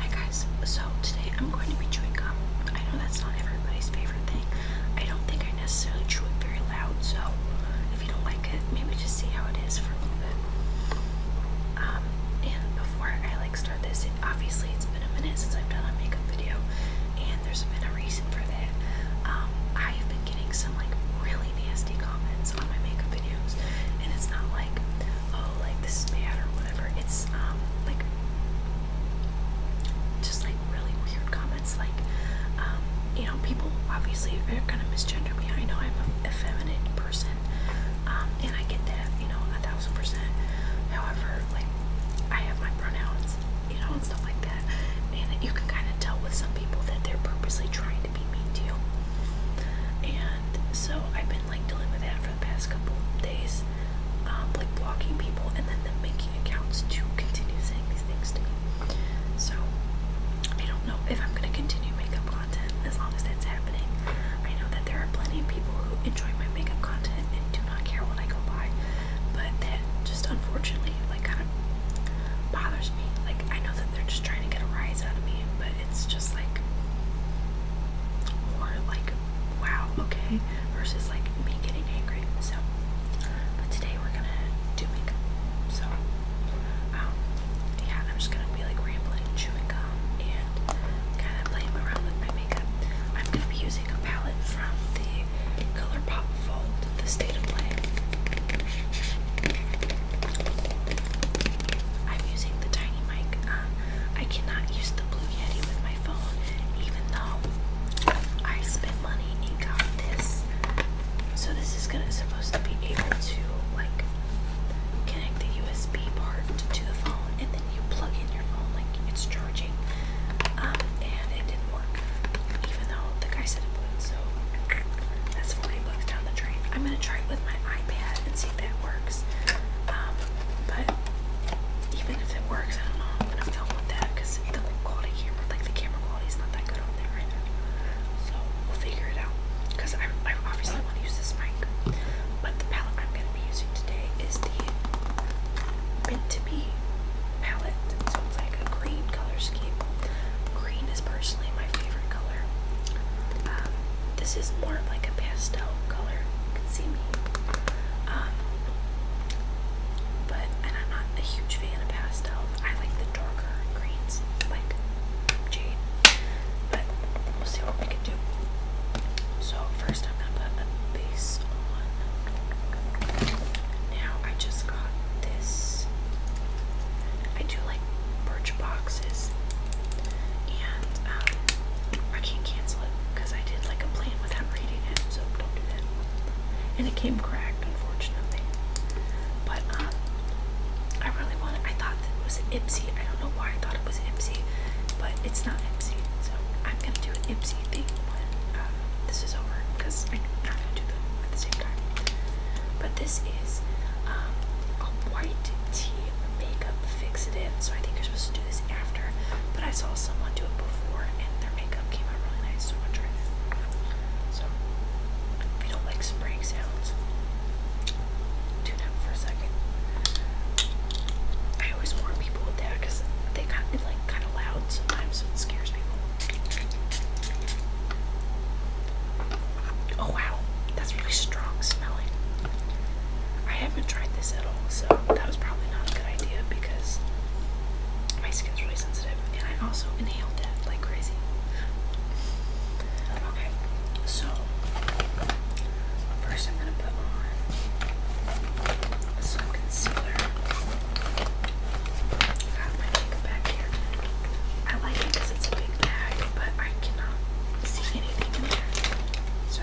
Hi guys, so today I'm going to be chewing gum. I know that's not everybody's favorite thing. I don't think I necessarily chew it very loud, so if you don't like it, maybe just see how it is for a little bit. Um, and before I like start this, obviously it's been a minute since I've done a makeup video, and there's been a reason for that. Um, I have been getting some like really nasty comments on my makeup videos, and it's not like oh, like this is bad or whatever. It's um, like just like really weird comments. Like, um, you know, people obviously are gonna misgender me. I know I'm an effeminate person, um, and I get that, you know, a thousand percent. However, like, I have my pronouns, you know, and stuff like that. And you can kind of tell with some people that they're purposely trying to be mean to you. And so I've been like dealing with that for the past couple days, um, like blocking people and then them making accounts to continue saying these things to me. So I don't know if I'm gonna continue makeup content as long as that's happening. I know that there are plenty of people who enjoy my makeup content and do not care what I go by, but that just unfortunately like kind of bothers me. Like I know that they're just trying to get a rise out of me, but it's just like more like wow, okay, versus like me getting angry. So, but today we're gonna do makeup. So, um, yeah, I'm just gonna be like rambling, chewing gum, and kind of playing around with my makeup. I'm gonna be using a palette from the ColourPop Fold, the State of Play. I'm using the Tiny Mic. Um, I cannot use the Blue Yeti with my phone, even though I spent money and got this. So this is gonna supposed to be able to like connect the USB part to the phone, and then you plug in your phone like it's charging. Um, and it didn't work, even though the guy said it would. So that's forty bucks down the drain. I'm gonna try it with my iPad and see if that works. Um, but even if it works, I don't know. I'm gonna film with that because the quality camera, like the camera quality, is not that good on there So we'll figure it out. Because I, I obviously want to use this mic, but the palette I'm gonna be using today is the meant to be palette. So it's like a green color scheme. Green is personally my favorite color. Um, this is more of like a pastel color. You can see me. Um, but I'm not a huge fan of pastel. I like the darker greens, like jade. But we'll see what we can do. So first, I'm gonna put a base on. Now I just got this. I do like birch boxes, and um, I can't cancel it because I did like a plan without reading it, so don't do that. And it came cracked, unfortunately. But um, I really wanted. I thought that it was Ipsy. I don't know why I thought it was Ipsy, but it's not Ipsy. So I'm gonna do an Ipsy thing uh, this is over because I'm not gonna do them at the same time. But this is um, a white makeup fixative, so I think you're supposed to do this after. But I saw someone do it before, and their makeup came out really nice, so I'm gonna So, if you don't like spraying sounds, tune out for a second. I always warn people with that because they got it like kind of loud sometimes, it scares people. Oh wow, that's really strong smelling. I haven't tried this at all, so that was probably not a good idea because my skin's really sensitive and I also inhaled that like crazy. Okay, so first I'm gonna put on some concealer. I my makeup bag here. I like it because it's a big bag, but I cannot see anything in there. So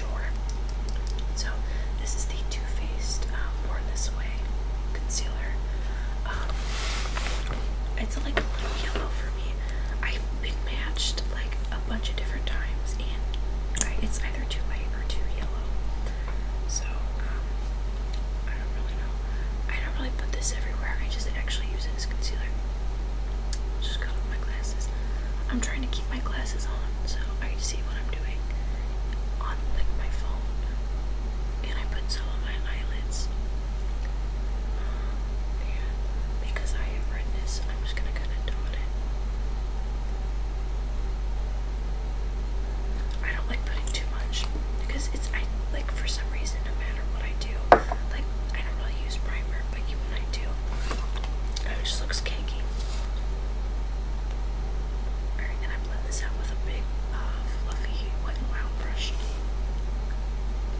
drawer. So this is the Too Faced um, Born This Way concealer. Um, it's like a little yellow for me. I've been matched like a bunch of different times, and it's either too light or too yellow. So um, I don't really know. I don't really put this everywhere. I just actually use it as concealer. Just got my glasses. I'm trying to keep my glasses on so I can see what I'm doing on like my phone. And I put some on my eyelids. yeah, uh, because I have redness, I'm just gonna kind of dot it. I don't like putting too much because it's like for some reason no matter what I do, like I don't know use primer, but you and I do. Oh, it just looks cakey. Alright, and I blend this out with a big, uh, fluffy wet round brush.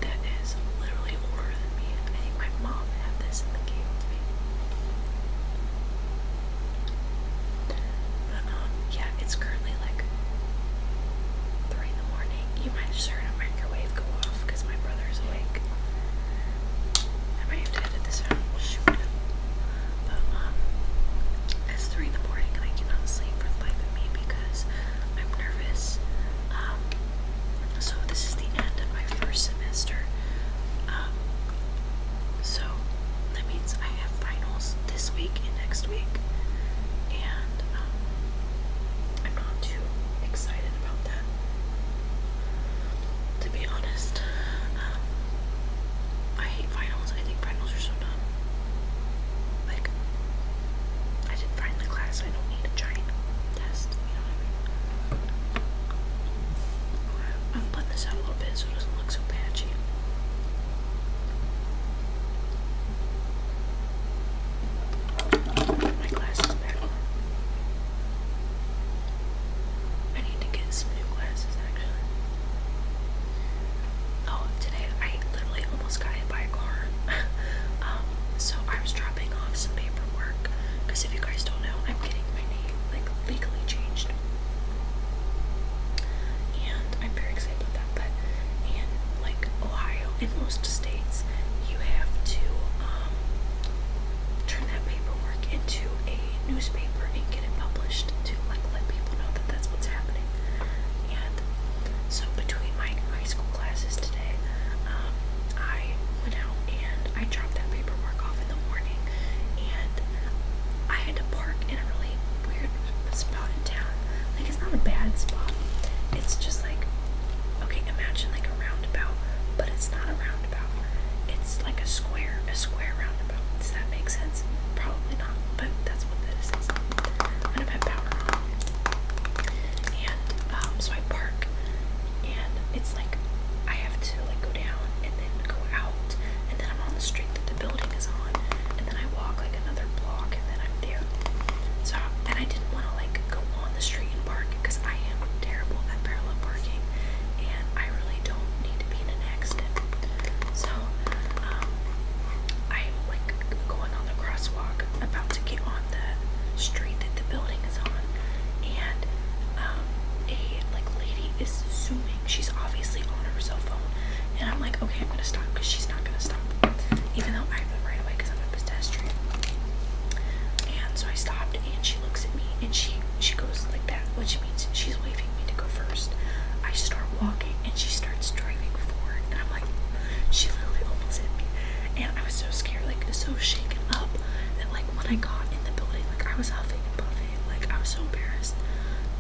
That is literally older me. I think my mom had this and they gave But, um, yeah, it's currently like 3 in the morning. You might just hear a microwave go off because my brother is awake. I might have to edit this Shoot. But um, it's three in the morning and I cannot sleep for the life of me because I'm nervous. Um, so this is the end of my first semester. Um, so that means I have finals this week and next week, and um, I'm not too excited about that. To be honest, um, I hate finals. I think finals are so dumb. Like, I didn't find the I don't need a giant test. You know what I mean? I'm putting this out a little bit so it doesn't look so patchy. My glasses back I need to get some new glasses actually. Oh, today I literally almost got hit by a car. um, so I was dropping off some paperwork because if you guys don't know, I'm getting my name like legally changed. And I'm very excited about that. But in like Ohio, in most states, you have to um turn that paperwork into a newspaper and get it published to like let people know that that's what's happening. And so between my high school classes today, um, I went out and I dropped that paperwork off in the morning, and I had to park in a really weird spot in town. Like it's not a bad spot. It's just like okay, imagine like a roundabout, but it's not a it's like a square, a square roundabout. Does that make sense? Probably not, but that's what this is. I'm gonna put power on. And um, so I park, and it's like I have to like go down and then go out, and then I'm on the street that the building is on, and then I walk like another block, and then I'm there. So and I didn't want to like go on the street Parking because I am terrible at parallel parking and I really don't need to be in an accident. So, I'm um, like going on the crosswalk, about to get on the street that the building is on, and um, a like lady is zooming. She's obviously on her cell phone, and I'm like, okay, I'm gonna stop because she's not gonna stop, even though I have the right away because I'm a pedestrian. And so I stopped, and she looks at me and she she goes like that, which means she's waving me to go first. I start walking and she starts driving forward and I'm like she literally almost hit me. And I was so scared, like so shaken up that like when I got in the building, like I was huffing and puffing, like I was so embarrassed.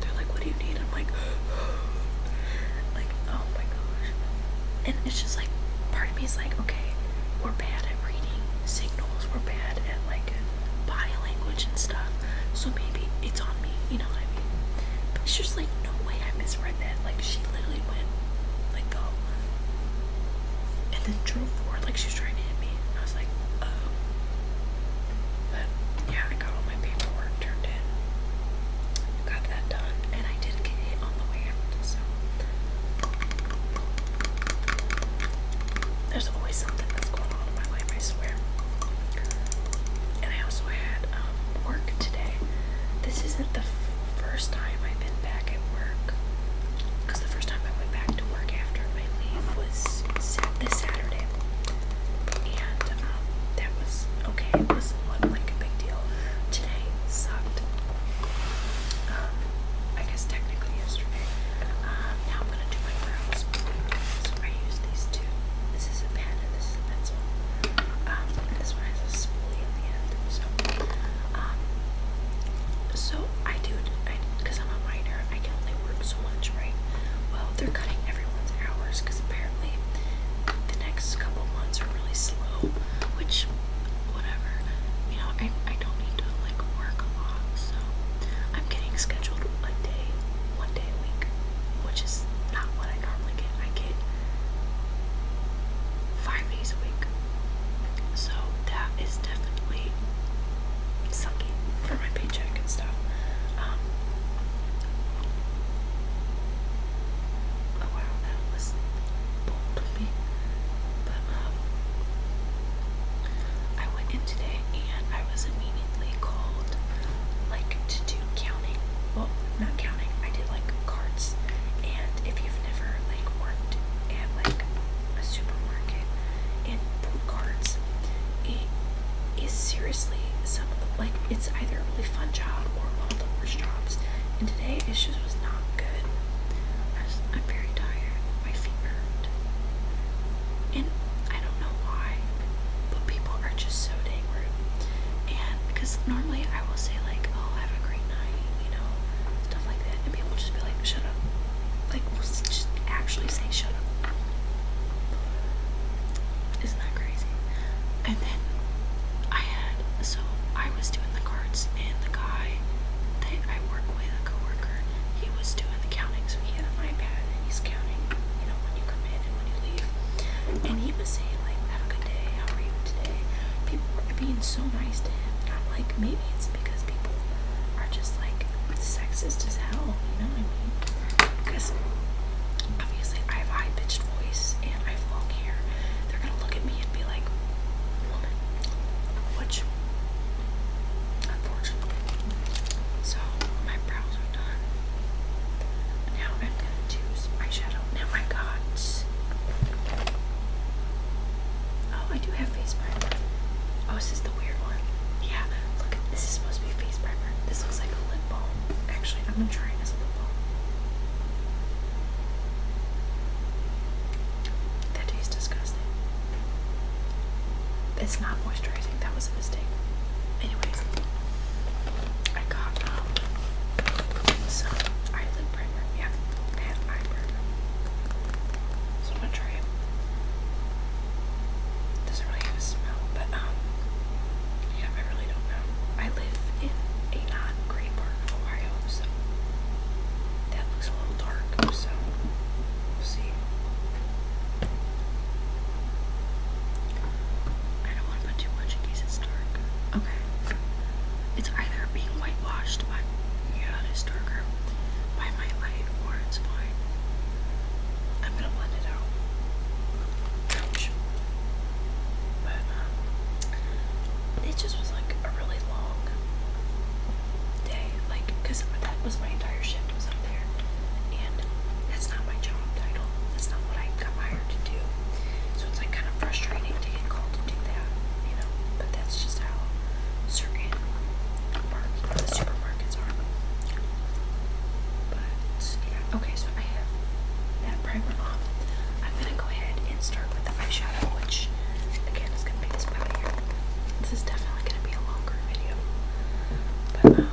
They're like, What do you need? I'm like like oh my gosh. And it's just like part of me is like, okay, we're bad at reading signals, We're bad at like body language and stuff. So maybe it's on me, you know what I mean? it's just like no way I misread that. Like she literally went like go and then drove forward like she was trying to hit me. I was like, oh. But yeah, I got all my paperwork turned in. Got that done, and I did get hit on the way out, so there's always something that's going on in my life, I swear. And I also had um, work today. This isn't the first time I've been back at work. Because the first time I went back to work after my leave was sat this Saturday. And um, that was okay. It wasn't like a big deal. Today sucked. Um, I guess technically yesterday. Um, now I'm gonna do my brows. So I use these two. This is a pen and this is a pencil. Um, this one has a spoolie at the end. So, um, so I do because I'm a minor. I can only work so much, right? Well, they're cutting everyone's hours because apparently the next couple months are really slow, which whatever. You know, I, I don't need to like work a lot, so I'm getting scheduled a day, one day a week, which is not what I normally get. I get five days a week, so that is definitely sucky for my paycheck and stuff. Um, oh wow, that was bold of me, but um, I went in today and I was immediately called like to do counting. Well, not counting. I did like carts. And if you've never like worked at like a supermarket and pulled carts, it is seriously some of the like it's either a really fun job or one of the worst jobs. And today it just was not good. I I'm very tired my feet hurt. And I don't know why, but people are just so dang rude. And because normally I will say like, oh, have a great night, you know, stuff like that. And people will just be like, shut up. Like, just actually say shut up. Isn't that crazy? And then I had, so I was doing the cards and the guy that I work with, a coworker, he was doing the counting, so he had an iPad and he's counting, you know, when you come in and when you leave. And he was saying, like, have a good day, how are you today? People were being so nice to him. And I'm like, maybe it's because people are just like sexist as hell, you know what I mean? Because obviously I have a high pitched voice and I have long hair. They're gonna look at me and be like, Woman, what's your unfortunately. So my brows are done. Now I'm gonna do some eyeshadow. Now I got oh I do have face primer. Oh, this is the weird one. Yeah, look this is supposed to be face primer. This looks like a lip balm. Actually, I'm gonna try it as a lip balm. That tastes disgusting. It's not moisturizing. That was a mistake. Anyways, I got um, eyelid primer. Yeah, pan eye So I'm gonna try it. Doesn't really have a smell, but um, yeah, I really don't know. I live in a not great part of Ohio, so that looks a little dark. So see. I don't want to put too much in case it's dark. Okay. It's either being whitewashed by yeah, it is darker by my light or it's fine. I'm gonna blend it out. Ouch. But um, it just was like a really long day, like, because that was my entire shift was up there, and that's not my job title. That's not what I got hired to do. So it's like kind of frustrating to get called to do that, you know. But that's just how certain market, supermarkets are. But yeah, okay. So I have that primer on. I'm gonna go ahead and start with the eyeshadow, which again is gonna be this palette here. This is definitely going to be a longer video. But um,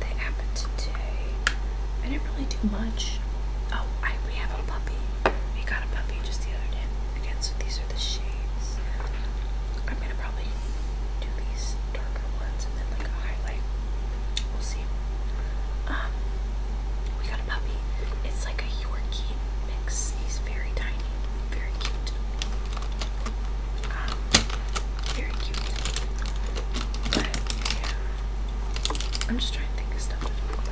they happened today. I didn't really do much. Oh, I we have a puppy. We got a puppy just the other day. Again, so these are the shades. I'm gonna probably do these darker ones and then like a highlight. We'll see. Um, we got a puppy. It's like a Yorkie mix. He's very tiny. Very cute. Um, very cute. But yeah, I'm just trying to think of stuff to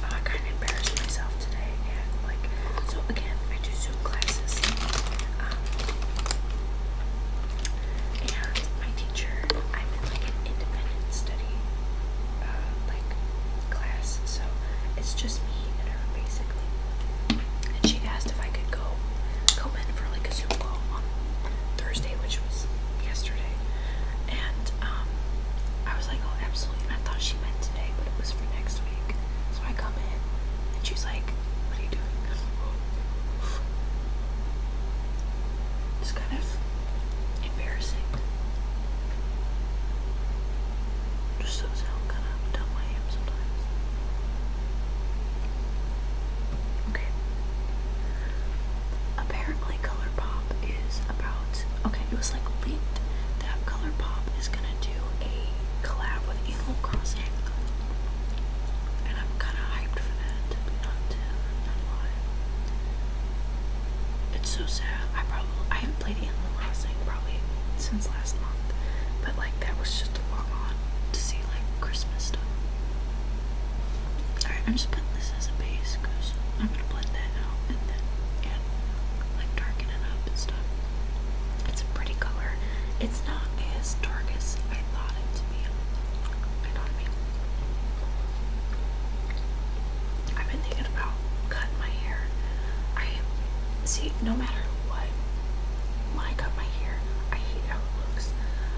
uh, I kind of embarrassed myself today, and like, so again, I do Zoom classes. Um, and my teacher, I'm in like an independent study, uh, like class, so it's just me and her basic. And she asked if I could go come in for like a Zoom call on Thursday, which was yesterday. And um, I was like, oh, absolutely. And I thought she meant today, but it was for next week. So I come in, and she's like, what are you doing? It's kind of embarrassing. Just those how kind of dumb I am sometimes. Okay. Apparently, ColourPop is about. Okay, it was like leaked that ColourPop is gonna do a collab with Animal Crossing, and I'm kind of hyped for that. To be not to not It's so sad. I probably I haven't played Animal Crossing probably since last month, but like that was just a long on to see like Christmas stuff. Alright, I'm just putting this as a base because I'm gonna blend that out and then and like darken it up and stuff. It's a pretty color. It's not as dark as I thought it to be. I know what I mean. I've been thinking about cutting my hair. I see, no matter what, when I cut my hair, I hate how it looks.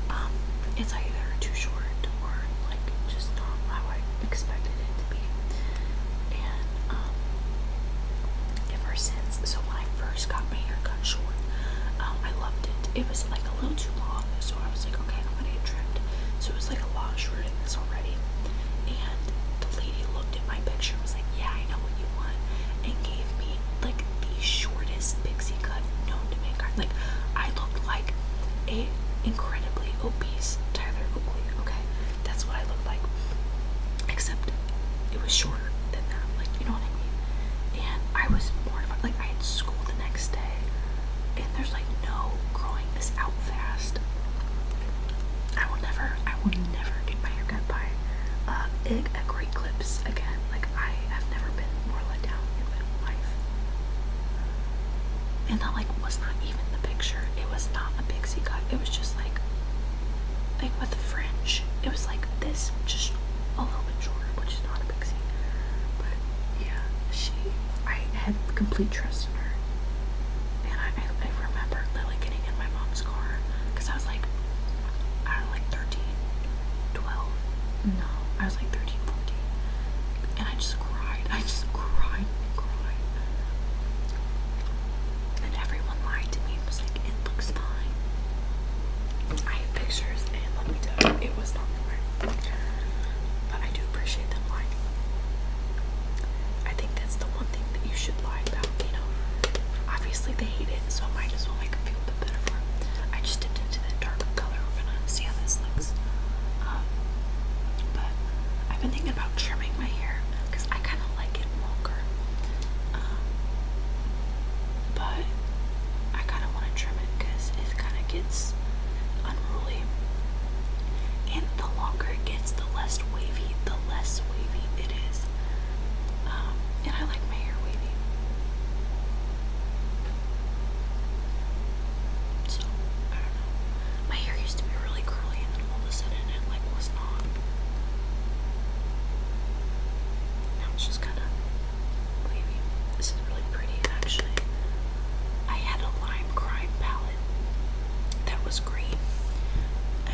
Um, it's either too short or like just not how I expected it to be. And um, ever since, so when I first got my hair cut short, um, I loved it. It was like a little too long, so I was like, okay, I'm gonna get trimmed. So it was like a lot shorter than this already. And the lady looked at my picture and was like, Yeah, I know what you want. And gave me like the shortest pixie cut known to mankind. Like, I looked like a incredibly obese Tyler Oakley, okay? That's what I looked like. Except it was shorter than that. Like, you know what I mean? And I was mortified. Like, I had school the next day. And there's like no growing this out fast. I will never, I will never get my hair cut by uh, a great clips again. Like I have never been more let down in my life. And that like was not even the picture. It was not a pixie cut. It was just like, like with the fringe. It was like this, just a little bit shorter, which is not a pixie. But yeah, she, I had complete trust in her and I, I, remember Lily getting in my mom's car because I was like, I don't like 13, 12. No, I was like 13, 14. And I just cried. I just cried and cried. And everyone lied to me and was like, it looks fine. I have pictures, and let me tell you, it was not fine. But I do appreciate them lying. I think that's the one thing that you should lie about you know. Obviously they hate it, so I might as well make them feel a bit better I just dipped into that darker color. We're gonna see how this looks. Um, but I've been thinking about trimming my hair because I kind of like it longer. Um, but I kind of want to trim it because it kind of gets unruly. And the longer it gets, the less wavy, the less wavy it is. Um, and I like my hair wavy. So, My hair used to be really curly and then all of a sudden it like was not. Now it's just kind of wavy. This is really pretty actually. I had a lime crime palette that was green.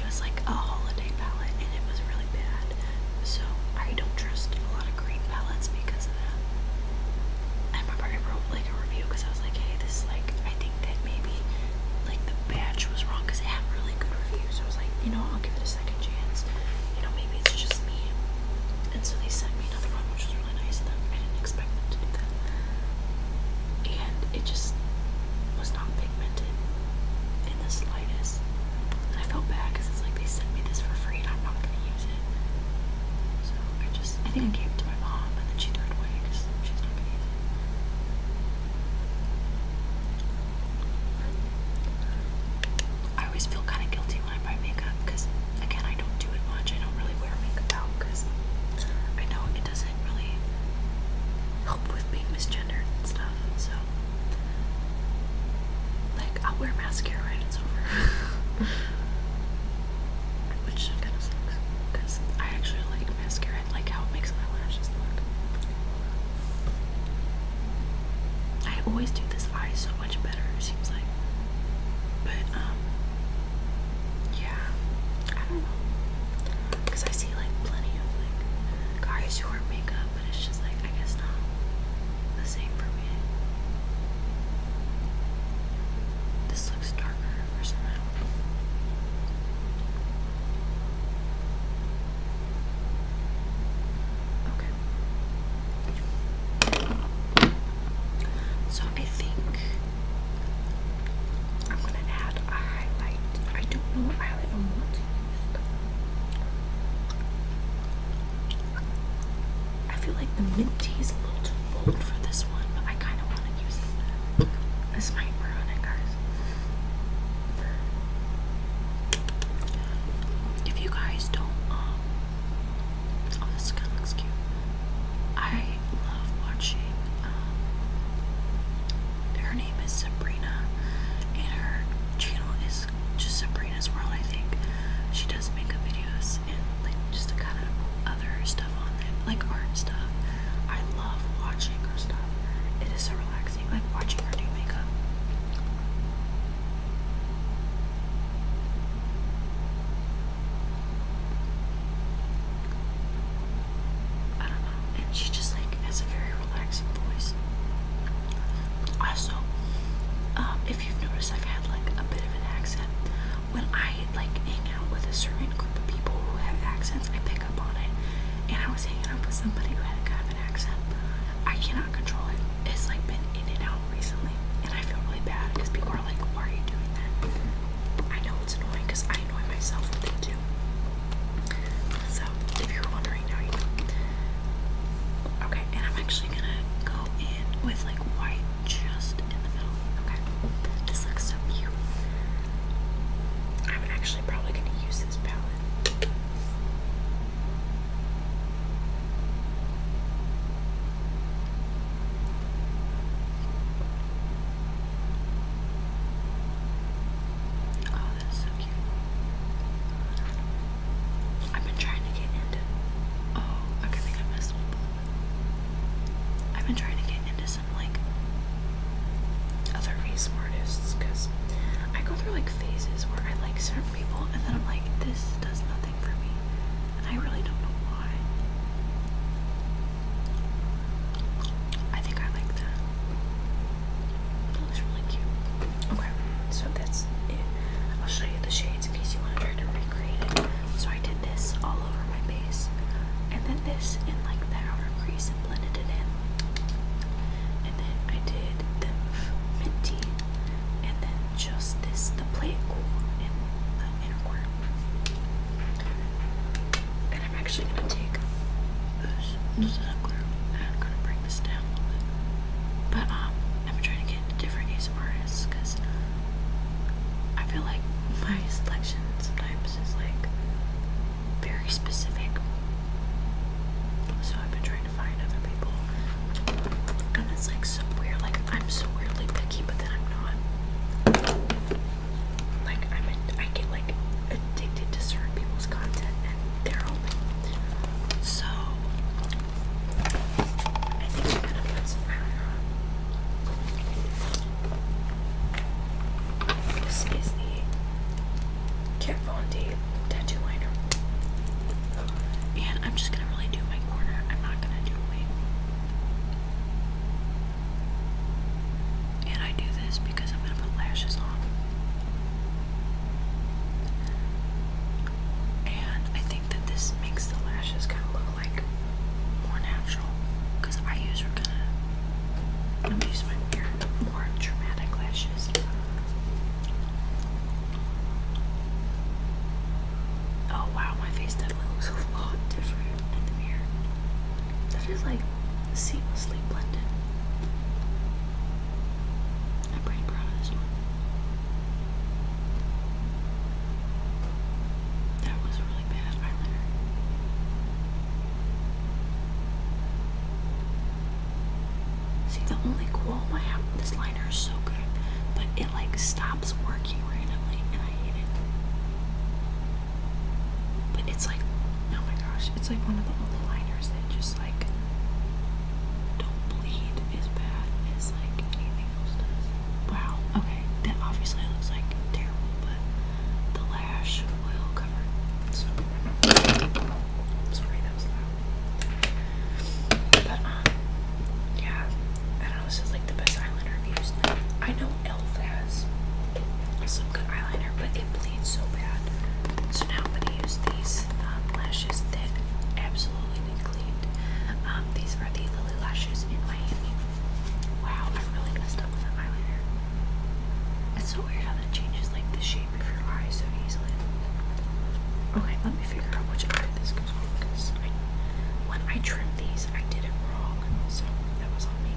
It was like a holiday palette and it was really bad. So I don't trust a lot of green palettes because of that. I remember I wrote like a review because I was like, hey, this is like, I think that maybe like the batch was wrong because it had really good reviews. So I was like, you know, I'll give it a second chance. You know, maybe it's just me. And so they sent me another one, which was really nice of them. I didn't expect them to do that. And it just, was not pigmented in the slightest. I felt bad because it's like they sent me this for free and I'm not going to use it. So I just, I think I gave it to my mom and then she threw it away because she's not going to use it. I always feel kind of guilty when I buy makeup because, again, I don't do it much. I don't really wear makeup out because I know doesn't really help with being misgendered and stuff. So, like, I'll wear mascara and it's over. Which kind of sucks because I actually like mascara and like how it makes my lashes look. I always do this eye so much better, it seems like. But, um, yeah, I don't know. Because I see like plenty of like guys who wear makeup, but it's just like I guess not the same for me. This looks darker for some reason. Okay. So I think I'm gonna add highlight. I don't know what highlight I want to use. I feel like the mint tea is a little too bold for this one, but I kind of want to use it. This might ruin it, guys. If you guys don't, um, oh, this kind looks cute. I love watching um, her name is Sabrina, and her channel is just Sabrina's World, I think. She does makeup videos and like just a kind of other stuff on it, like art stuff. I love watching her stuff. It is so relaxing, like watching her do makeup. I don't know and she just like has a very relaxing voice. Also, um, if you've noticed, I've had like a bit of an accent. When I like hang out with a certain group of people who have accents, I pick up on it. And I was hanging out with somebody who had a kind of an accent. I cannot control it. It's like been in and out recently, and I feel really bad because people are like, "Why are you doing that?" I know it's annoying because I annoy myself with it. So, if you're wondering, Okay, and I'm actually gonna go in with like white just in the middle. Okay, this looks so cute. I'm actually probably gonna use this palette. Oh, that's so I've been trying to get into. Oh, I think I messed with I've been trying to get into some like other race artists because I go through like phases where I like certain people and then I'm like, this does nothing for me, and I really don't know why. I think I like that looks oh, really cute. Okay, so that's it. I'll show you the shades in case you want to try to recreate it. So I did this all over my base, and then this in like that outer crease and blended it in. And then I did the minty, and then just this, the plate cool the inner I'm actually gonna take this. I'm gonna bring this down a little bit. But um, I'm trying to get different ASMR artists because I feel like my selection sometimes is like very specific. So I've been trying to find other people, and it's like so weird. Like I'm so weirdly picky, but then I'm not. Like I'm, a, I get like addicted to certain people's content so I think I'm gonna put some eyeliner on. This is the Kat Von D tattoo liner. And I'm just gonna really do my corner. I'm not gonna do a wing. And I do this because I'm gonna put lashes on. And I think that this makes the lashes kind of look like more natural because I use her kind of, i use my mirror, more dramatic lashes. Oh wow, my face definitely looks a lot different in the mirror. That is like seamlessly blended. I'm pretty this one. That was really bad eyeliner. See, the only qualm I have with this liner is so good, but it like stops working randomly, and I hate it. But it's like, oh my gosh, it's like one of the only liners that just like don't bleed as bad as like anything else does. Wow. Okay, that obviously looks like terrible, but the lash will cover it. So sorry that was loud. But um, yeah, I know. This is like the best eyeliner I've used. I know Elf has some good eyeliner, but it bleeds so bad. So now use these um, lashes that absolutely need cleaned. Um, these are the Lily lashes in Miami. Wow, I really messed up with that eyeliner. It's so weird how that changes like the shape of your eyes so easily. Okay, let me figure out which eye this goes on because I, when I trimmed these, I did it wrong, so that was on me.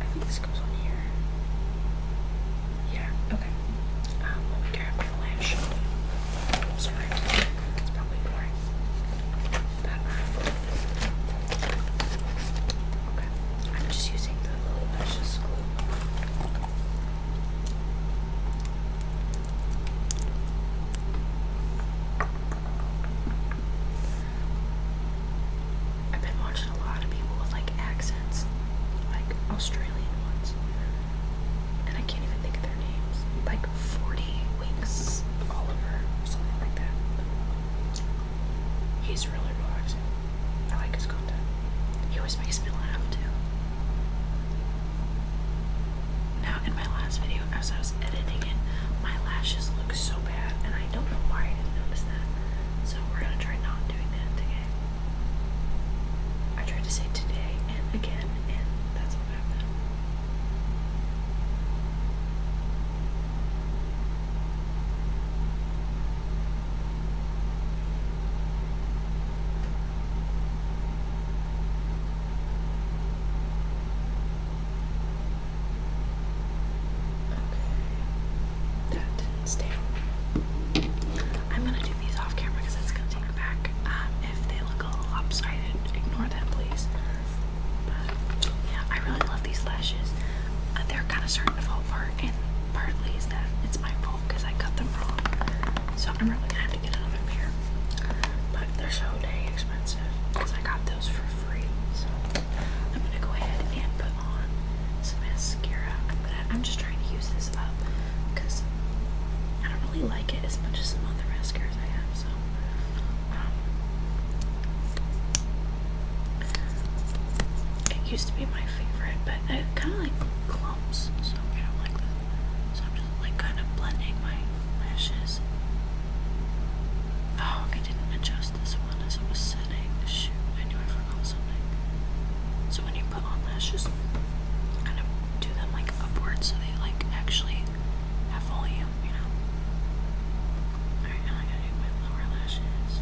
I think this goes on here. Yeah, okay. Um, let me grab my lash. Sorry, it's probably boring. Um, okay. I'm just using the little lashes I've been watching a lot of people with like accents, like Australian ones, and I can't even think of their names. Like 40 Winks Oliver, something like that. He's really relaxing. I like his content. He always makes me laugh too. Now, in my last video, as I was editing it, my lashes look so bad, and I don't know why I did that. So, we're gonna try not doing that today. I tried to say today and again, and that's what happened. Okay. That did I'm gonna do these off camera because it's gonna take me back. Um, if they look a little lopsided, ignore that, please. yeah, I really love these lashes. Uh, they're kind of starting to fall apart, and partly is that it's my fault because I cut them wrong. So I'm probably gonna have to get another pair. But they're so dang expensive because I got those for free. So I'm gonna go ahead and put on some mascara. I'm just trying to use this up because I don't really like it as much as some other mascaras I have, so um, it used to be my favorite, but it kind of like clumps, so I don't like this. So I'm just like kind of blending my lashes. Oh, I didn't adjust this one as it was setting. I knew I forgot something. So when you put on lashes, kind of do them like upwards so they like actually have volume, you know. Alright, now I gotta do my lower lashes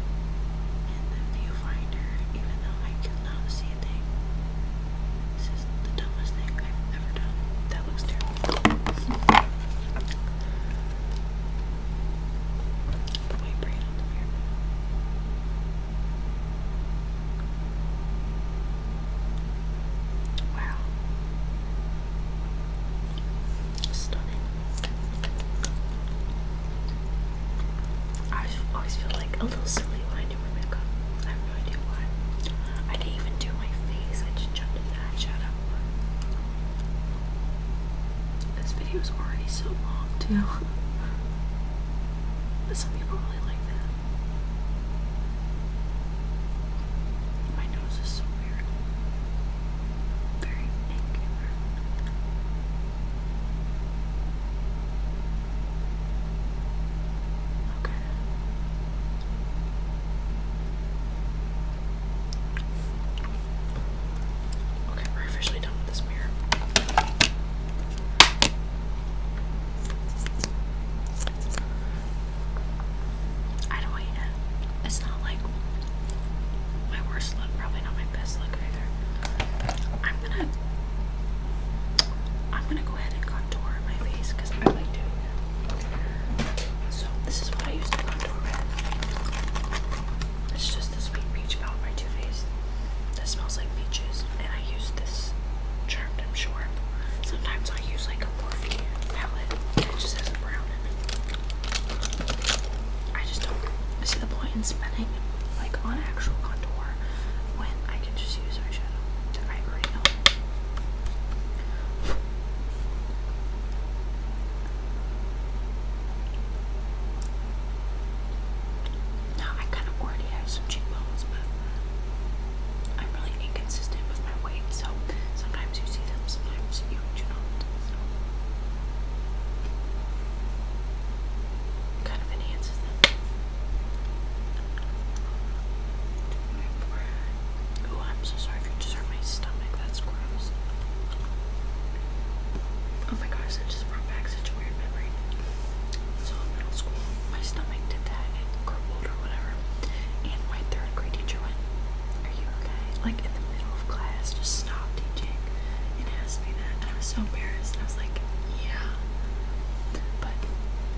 and the viewfinder, even though I cannot see this is the dumbest thing I've ever done. That looks terrible. The white Wow. Stunning. I always feel like a little silly when I I do my makeup. I have no idea didn't even do my face. I just jumped into eyeshadow. This video is already so long too. but some people really like that. My nose is so weird. Very angular. Okay. Okay, we're officially done with this mirror. I don't hate it. It's not like my worst look, probably not my best look either. I'm gonna I'm gonna go ahead and contour my face because I like doing that. So this is what I use to contour with. It's just the sweet peach palette by Too Faced. That smells like peaches, and I use this charmed. I'm sure. Sometimes I use like a Morphe palette that just has a brown in it. I just don't see the point in spending like on actual contour when I can just use eyeshadow I already own. Now I kind of already have some cheekbones, but I'm really inconsistent with my weight, so sometimes you see them, sometimes you do not kind of enhances them. Ooh, I'm so sorry if you just hurt my stomach. That's gross. Oh my gosh, that just brought back such a weird memory. my stomach did that. crumbled or whatever. And my third grade teacher went, are you okay? Like in the middle of class, just stop teaching and asked me that. And I was so embarrassed. I was like, yeah. But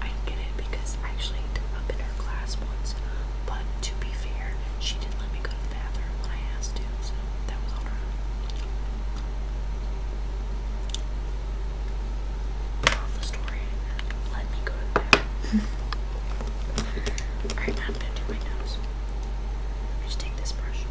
I get it because I actually ended up in her class once. But to be fair, she didn't let me go to the bathroom when I asked to, so that was on her. Off the story, let me go to the bathroom. Alright, I'm gonna do my nose. just take this brush.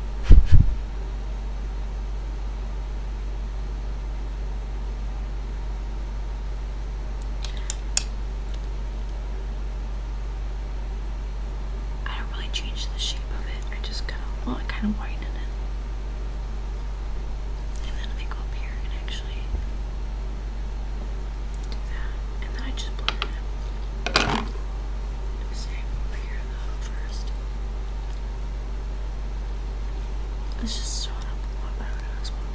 I don't really change the shape of it. I just kind of, well, I kind of whiten it. And then I go up here and actually do that. And then I just blend it. Same here though first let just start up one better than this one.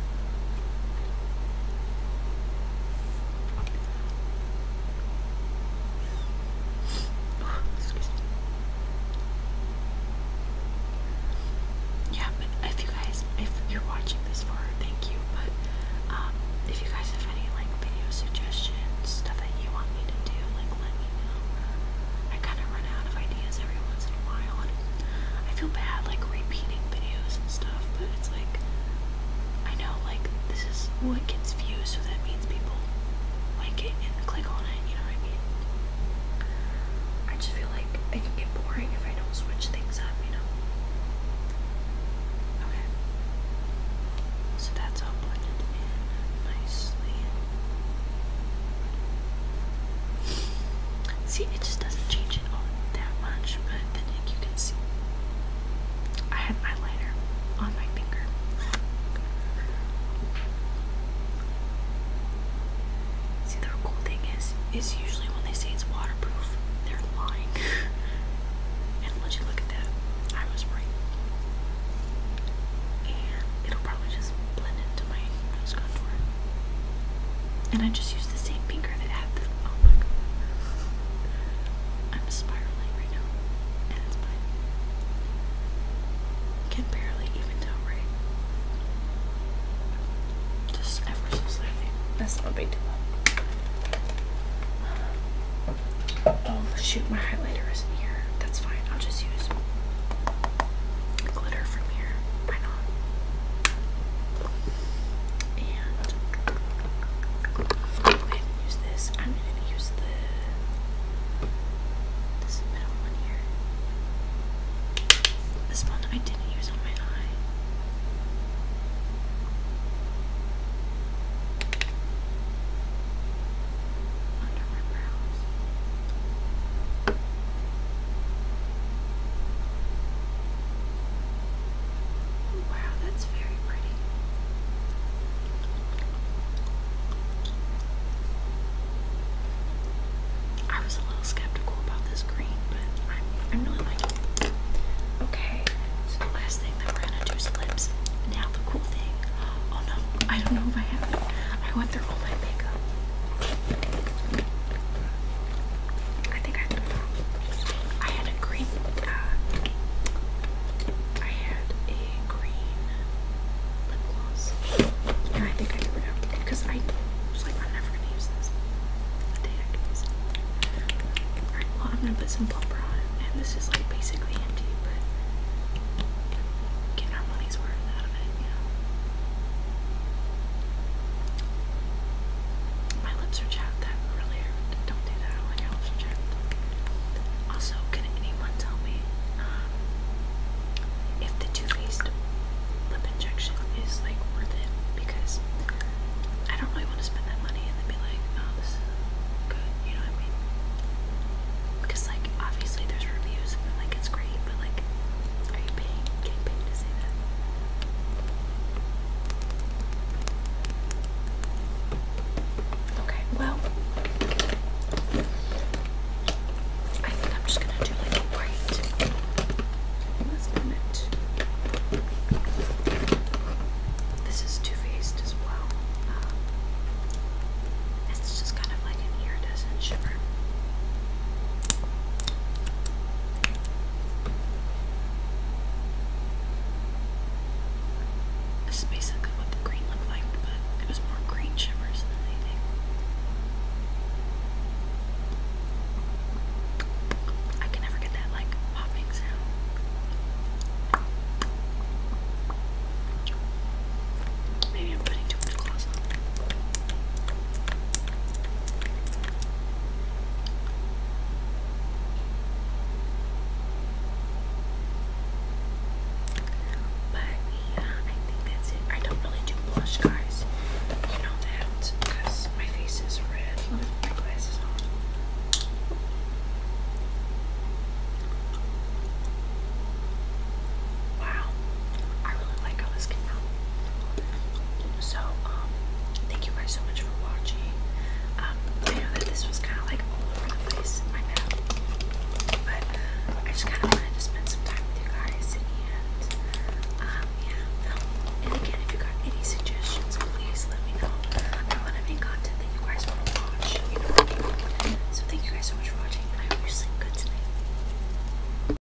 Excuse Yeah, but if you guys, if you're watching this for, thank you. But um, if you guys have any like video suggestions, stuff that you want me to do, like let me know. I kind of run out of ideas every once in a while, and I feel bad like repeating videos and stuff, but it's like I know like this is what gets views, so that means people like it and click on it, you know what I mean? I just feel like it can get boring if I don't switch things up, you know? Okay. So that's all nicely. See, it just doesn't change it all that much, but then you can see. I had my lighter on my finger. See, the cool thing is, is usually when they say it's waterproof, they're lying. and would you look at that? I was right. And it'll probably just blend into my nose contour. And I just used the same finger that had the. Oh my god. I'm spiraling right now. And it's Can barely even tell, right? Just ever so slightly. That's not a Oh shoot, my highlighter is not here. That's fine. I'll just use glitter from here. And I'm going use this. I'm going to use the this middle one here. This one I didn't use on my eye. Under my brows. Wow, that's very pretty. I was a little skeptical about this green, but I'm, really liking it. Okay, so the last thing that we're gonna do is lips. Now the cool thing, oh no, I don't know if I have it. I went through through my makeup. I think I had a green, uh, I had a green lip gloss. Yeah, I think I threw it because I was like, i never gonna use this. Alright, well, I'm gonna put some plumper on, and this is like basically empty, money's worth out of it, you know. My lips are chapped. That really hurt. Don't do that when your lips are chapped. Also, can anyone tell me um, if the Too Faced lip injection is like worth it? Because I don't really want to spend that money and then be like, oh, this is good. You know what I mean? Because like obviously there's reviews and like it's great, but like, are you paying, getting paid to say that? Okay, well, I think I'm just gonna do like a white last limit. This is Too Faced as well. Um, it's just kind of like an iridescent shade. This is basically what the green looked like, but it was more green shimmers than anything. I can never get that like popping sound. Maybe I'm putting too much gloss on. But yeah, I think that's it. I don't really do blush, guys. You know that my face is red. glasses on. Wow, I really like how this came out. So, um, thank you guys so much for watching. Um, I know that this was kind of like over the place but I just kind of wanted to spend some time with you guys and, um, yeah, And again, if you got any suggestions, please let me know. I want to make content that you guys want to watch, So, thank you guys so much for watching, I hope you sleep good tonight.